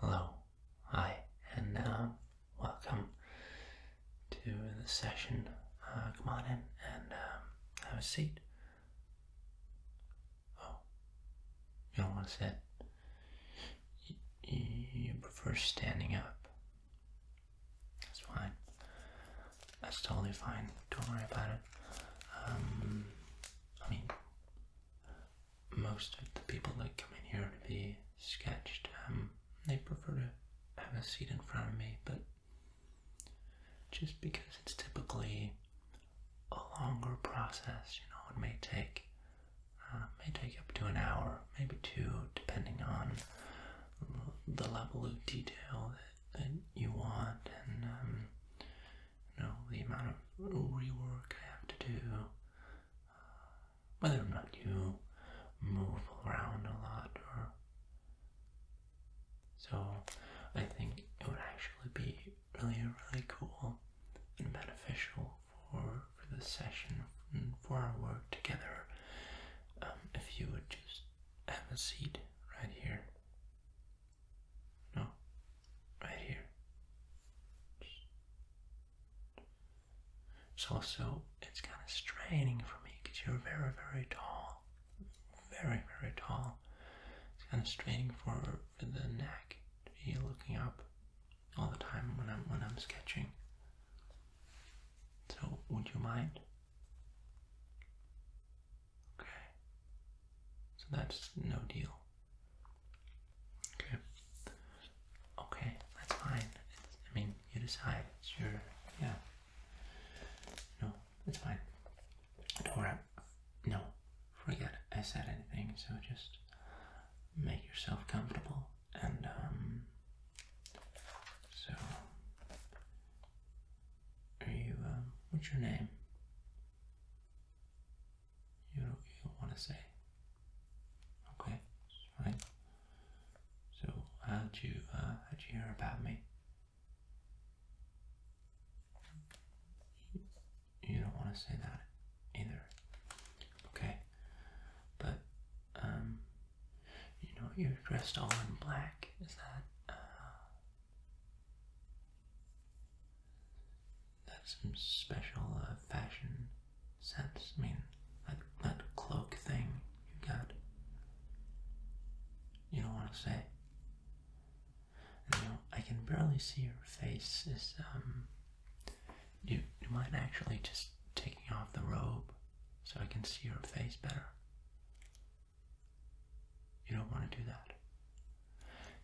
Hello, hi, and uh, welcome to the session. Uh, come on in and um, have a seat. Oh, you don't want to sit? you prefer standing up. That's fine. That's totally fine. Don't worry about it. Um, I mean, most of the people that come in here to be sketched, um, they prefer to have a seat in front of me, but just because it's typically a longer process, you know, it may take uh, may take up to an hour, maybe two, depending on the level of detail that, you want and um, you know, the amount of rework I have to do, uh, whether or not you move around a lot or. So I think it would actually be really, really cool and beneficial for, for the session, and for our work together, um, if you would just have a seat right here. No, right here. So also it's kind of straining for me because you're very, very tall, very, very tall. It's kind of straining for the neck to be looking up all the time when I'm when I'm sketching. So would you mind? Okay. So that's no deal. Okay. Okay, that's fine. I mean, you decide. It's your, yeah. No, it's fine. Don't worry. No, forget I said anything, so just make yourself comfortable and, um, so, are you, um, what's your name? you know you want to say. Okay, right. So how'd you uh, how'd you hear about me? You don't want to say that either. Okay, but um, you know you're dressed all in black. Is that uh, that's some special uh, fashion sense. I mean, that, that cloak thing you got. You don't want to say. I can barely see your face. Is um, you you mind actually just taking off the robe so I can see your face better? You don't want to do that.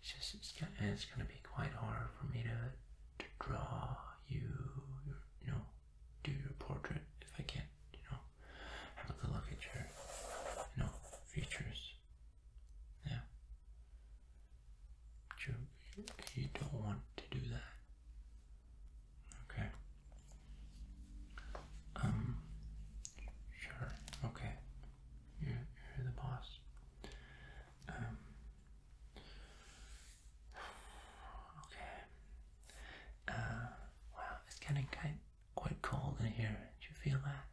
It's just, it's, and it's going to be quite hard for me to, to draw you, you know, do your portrait if I can't, you know, have a good look at your, you know, features. Yeah. you, you don't want to do that. Okay. Um, sure. Okay. You're, the boss. Um, okay. Uh, wow, it's getting quite, quite cold in here. Do you feel that?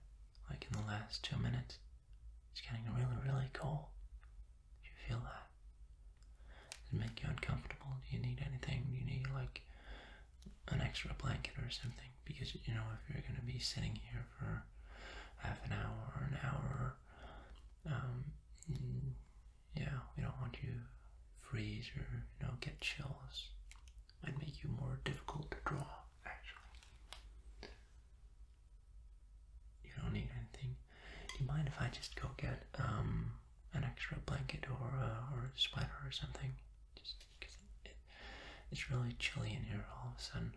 Like in the last two minutes? It's getting really, really cold. Do you feel that? Does it make you uncomfortable? Do you need anything? Do you need like an extra blanket or something because you know if you're going to be sitting here for half an hour or an hour um, mm, yeah we don't want you freeze or you know get chills and make you more difficult to draw actually you don't need anything do you mind if i just go get um an extra blanket or or a sweater or something it's really chilly in here all of a sudden.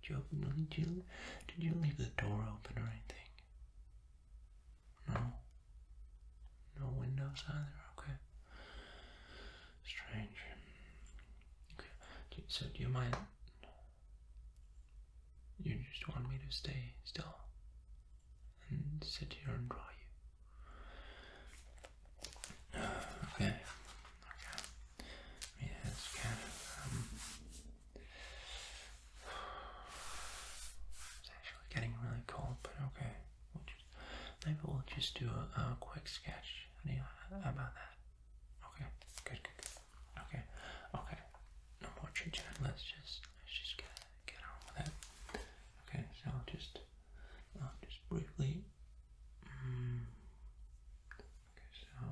Did you, open, did you, did you leave the door open or anything? No? No windows either? Okay. Strange. Okay, so do you mind? You just want me to stay still and sit here and draw you. Okay. Okay. Yeah, it's um, it's actually getting really cold, but okay. maybe we'll just do a, quick sketch about that. Okay. Good. Good. Okay. Okay. No more chit chat. Let's just let's just get get on with it. Okay. So just uh, just briefly. Okay, mm. so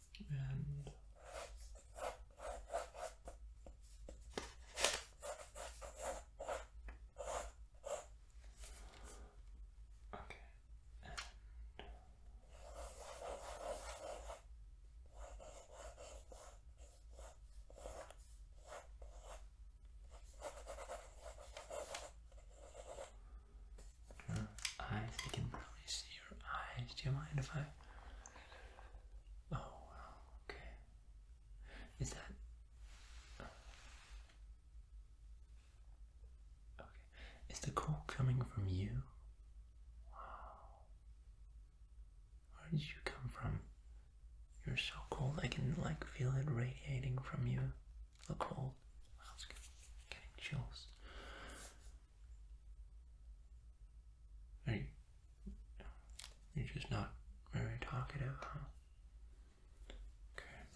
and okay and eyes, you can probably see your eyes. Do you mind if I Oh, wow, okay. Is that. Okay. Is the call coming from you? Wow. Where did you come from? You're so cold. I can like feel it radiating from you. The cold. Wow, I'm getting chills. Hey, you, are just not very talkative, huh? Okay.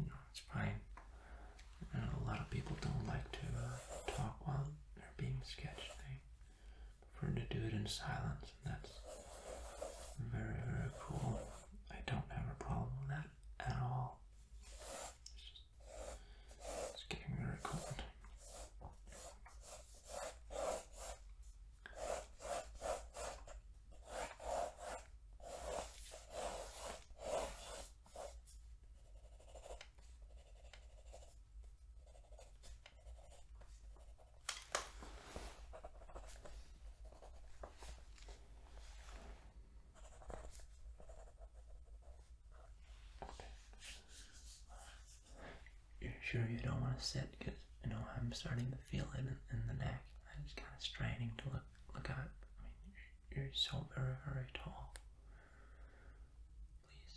No, it's fine. a lot of people don't like to uh, talk while they're being sketched. They prefer to do it in silence, and that's very, very cool. I don't have a problem with that at all. It's getting very cold. You're sure you don't want to sit? Because I know I'm starting to feel it in, the neck. I'm just kind of straining to look look up. I mean, you're, so very very tall. Please.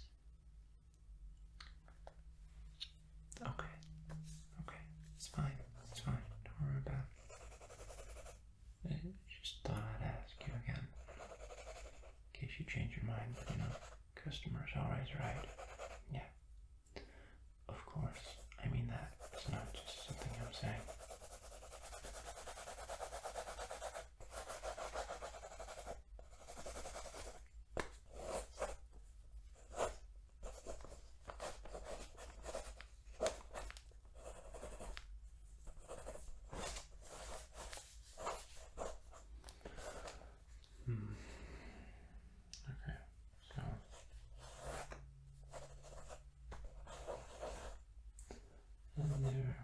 Okay. Okay. It's fine. It's fine. Don't worry about I just thought I'd ask you again. In case you change your mind, but you know, customer's always right. Yeah. Of course. I mean that. It's not just something I'm saying. Hmm. Okay, so there,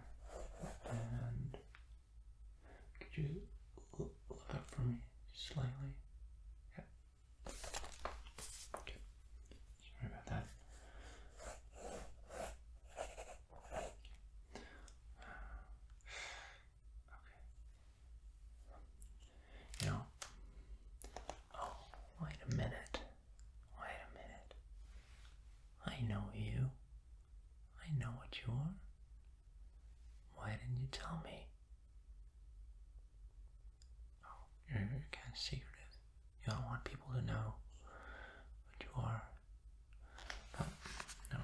and could you look up for me slightly? Yeah. Okay. Sorry about that. Okay. You know, oh, wait a minute. Wait a minute. I know you. I know what you are. Why didn't you tell me? Oh, you're, you're kind you don't want people to know what you are. But, oh, no.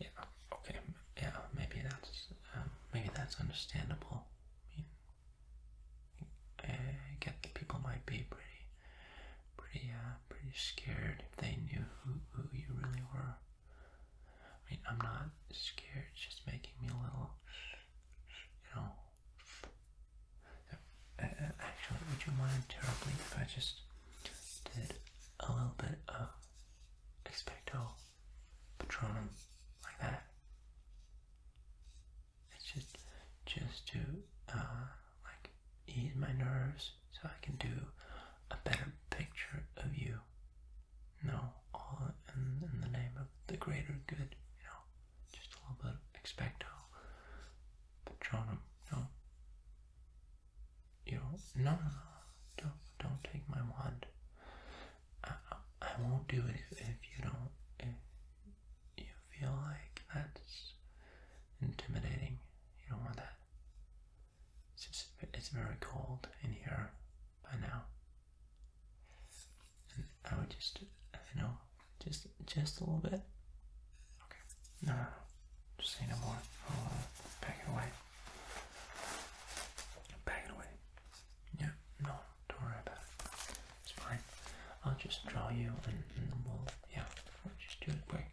Yeah. Okay. Yeah. Maybe that's um, maybe that's understandable. I mean, I get people might be pretty, pretty, uh, pretty scared if they knew who, you really were. I mean, I'm not scared. just making me a little, you know, actually, would you mind terribly if I just did a little bit of expecto patronum like that? It's just just to uh, like ease my nerves so I can do a better picture of you. no, all in, the name of the greater good. You know, just a little bit expecto Patronum, no. You do no, no, no, don't, don't take my wand. I, won't do it if, if you don't, if you feel like that's intimidating. You don't want that. It's, it's very cold in here by now. I would just, you know, just just a little bit. Okay. No, Just say no more. I'll uh, pack it away. Pack it away. Yeah. No, don't worry about it. It's fine. I'll just draw you and, and we'll, yeah, we'll just do it quick.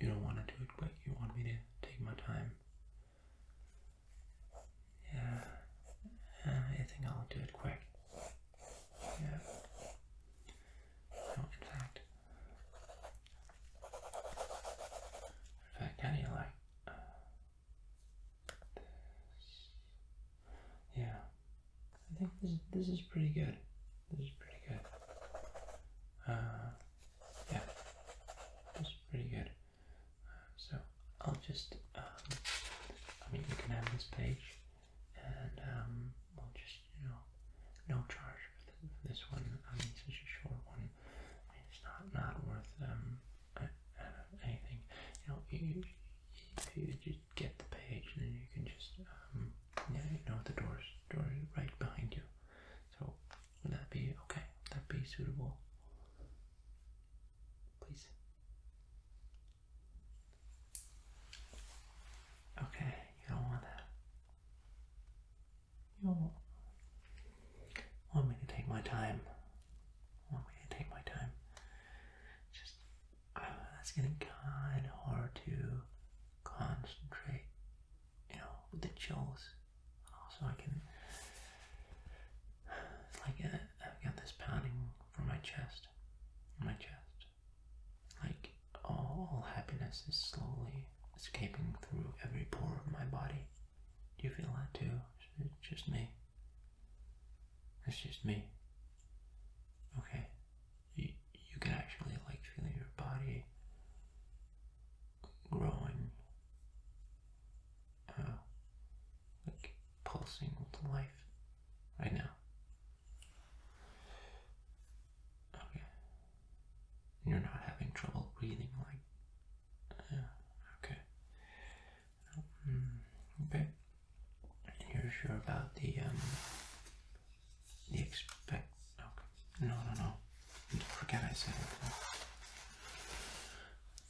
You don't want to do it quick. You want me to take my time. Yeah, uh, I think I'll do it quick. Yeah. No, in fact, in fact, how do you like Yeah, I think this this is pretty good. This is pretty good. Uh, yeah, this is pretty good so I'll just, um, I mean, you can have this page, and um, we'll just, you know, no charge for, this one. I mean, it's such a short one. it's not not worth um anything. You know, you, you just get the page, and then you can just um, yeah, you know, the doors door is right behind you. So would that be okay? Would that be suitable? Please. Okay, you don't want that. You don't want me to take my time. Want me to take my time? Just uh, it's getting kind of hard to concentrate. You know, with the chills Oh, so I can. It's like a, I've got this pounding from my chest, my chest. Like all happiness is slowly escaping through every pore of my body. Do you feel that too? just me. It's just me. Okay. You, you can actually like feel your body growing, uh, like pulsing with life right now. Okay. You're not having trouble breathing, like. Uh, okay. Um, okay. You're sure about the um the expect? No, no, no forget I said anything.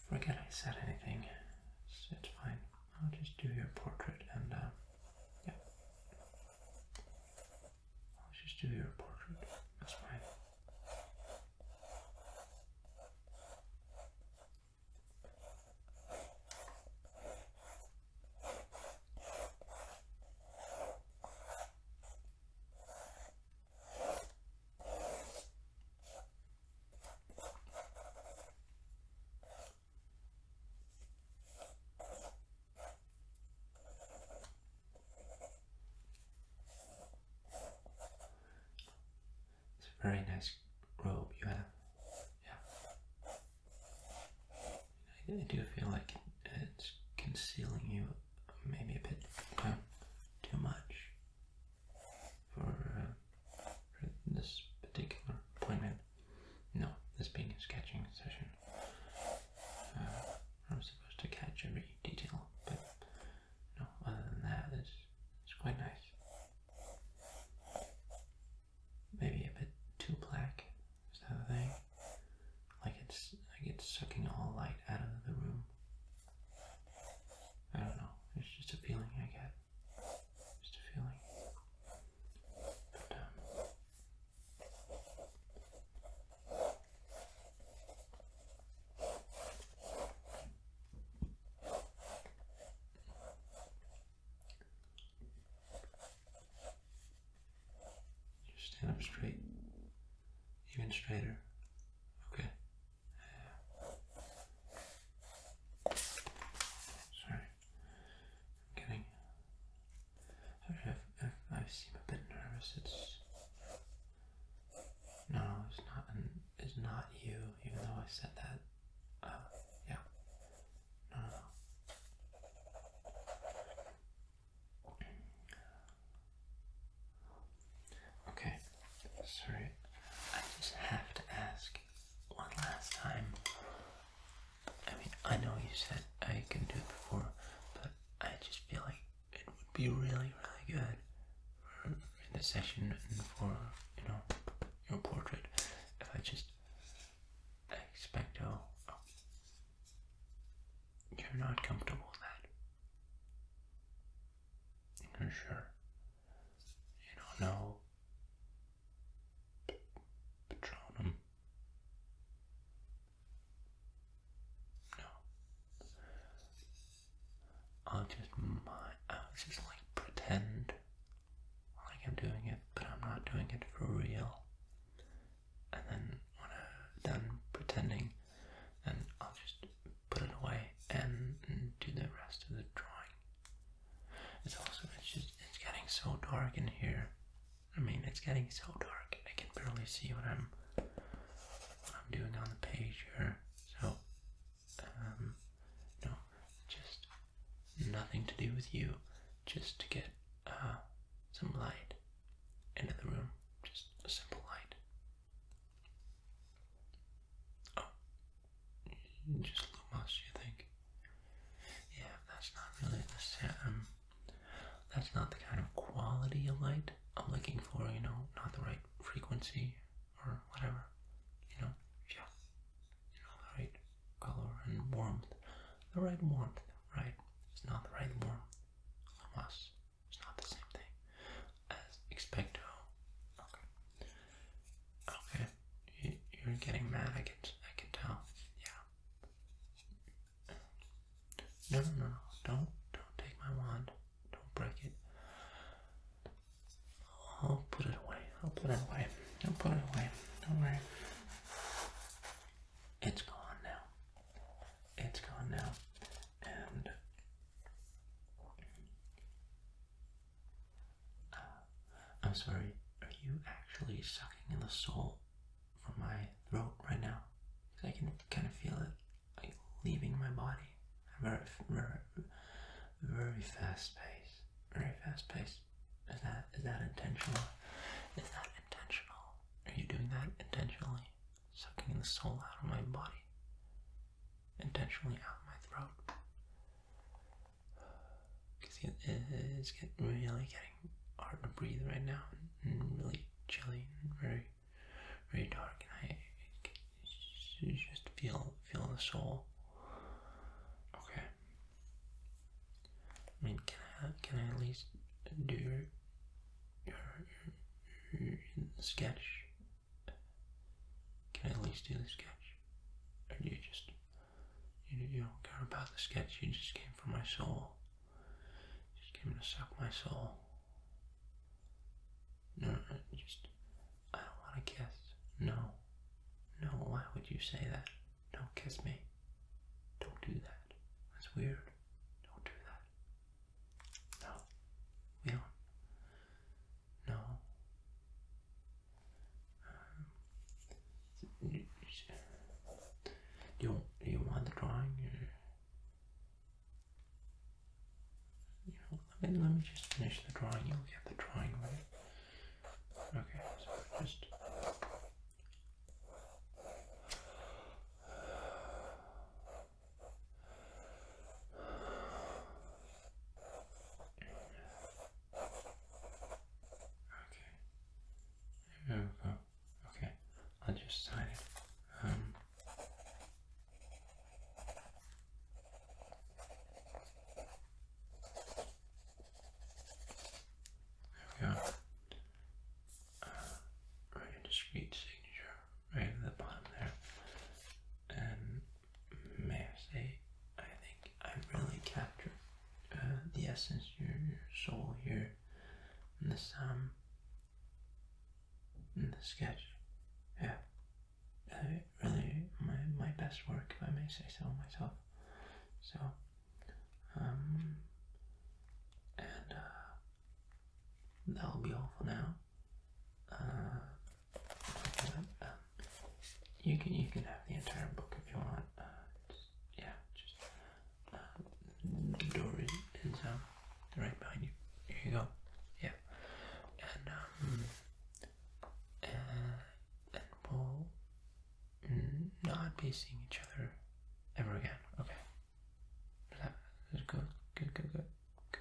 Forget I said anything. It's, fine. I'll just do your portrait and, uh, yeah. I'll just do your portrait. That's fine. It's a very nice robe you have. Yeah. I do feel like it's concealing you maybe a bit too much for, uh, for this particular appointment. No, this being a sketching session, uh, I'm supposed to catch every detail, but no, other than that, it's, it's quite nice. Maybe a bit too black is that a thing? like it's like it's sucking all light out of the room. I don't know. It's just a feeling I get. Just a feeling. Um, just stand up straight even straighter. Okay. Sorry, I'm getting. I seem a bit nervous. It's no, it's not. it's not you. Even though I said that. Uh, yeah. no. Okay, sorry, I just have to ask one last time. I mean, I know you said I can do it before, but I just feel like it would be really, really good for the session and for, you know, your portrait if I just expecto. Oh, you're not comfortable with that. For sure. You don't know Patronum. No. I'll just my I'll just like pretend like I'm doing it, but I'm not doing it for real and then when I'm done pretending, then I'll just put it away and, do the rest of the drawing. It's also it's just it's getting so dark in here. I mean, it's getting so dark. I can barely see what I'm I'm doing on the page here. So, um, no, just nothing to do with you. Just to get uh, some light and in the room, just a simple light. Oh, just Lumos, you think? Yeah, that's not really the same. Um, that's not the kind of quality of light I'm looking for, you know, not the right frequency or whatever. You know, yeah, you know, the right color and warmth. The right warmth, right? It's not the right warmth. Hamas. It's not the same thing as expecto. Okay. you're getting mad. I can. I can tell. Yeah. No, no, no. Don't. Don't take my wand. Don't break it. I'll put it away. I'll put it away. I'll put it away. Don't worry. It's gone now it's gone now. And uh, I'm sorry, are you actually sucking in the soul from my throat right now? I can kind of feel it like leaving my body. Very, very, very fast pace. Very fast pace. Is that is that intentional? Is that intentional? Are you doing that intentionally? Sucking the soul out of my body? Intentionally out of my throat? it's get, really getting hard to breathe right now and really chilly very, very dark. And I, I just feel, feel the soul. Okay. I mean, can I can I at least do your sketch? Can I at least do the sketch? Or you just you, you don't care about the sketch? You just came for my soul. Just came to suck my soul. No, I just I don't want to kiss. No, no. Why would you say that? Don't kiss me. Don't do that. That's weird. Don't do that. No. We don't. No. do um, you, want the drawing? let me, just finish the drawing. You'll get the drawing right. Okay, just Okay. There we go. Okay. I'll just sign it. Um, there we go uh, a discrete signature right at the bottom there. And may I say, I think I really captured uh, the essence, of your soul here in the um in the sketch. Yeah, really my my best work, if I may say so myself. So um, and uh, that'll be all for now. Uh, um, you can you can have the entire book if you want. Uh, yeah, just the door is, is um, right behind you. Here you go. Yeah, and um, and we'll not be seeing each other ever again. Okay. Good, good, good, good, good, good.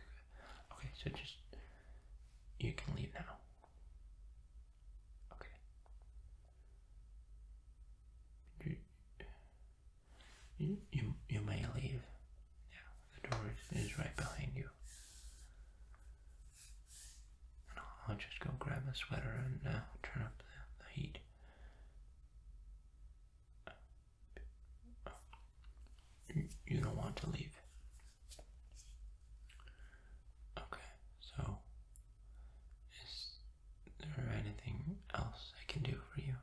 Okay, so just you can leave now. Okay. You, you, you, may leave. Yeah, the door is, is right behind you. I'll, just go grab a sweater and uh, turn up the heat. You don't want to leave. Okay, so is there anything else I can do for you?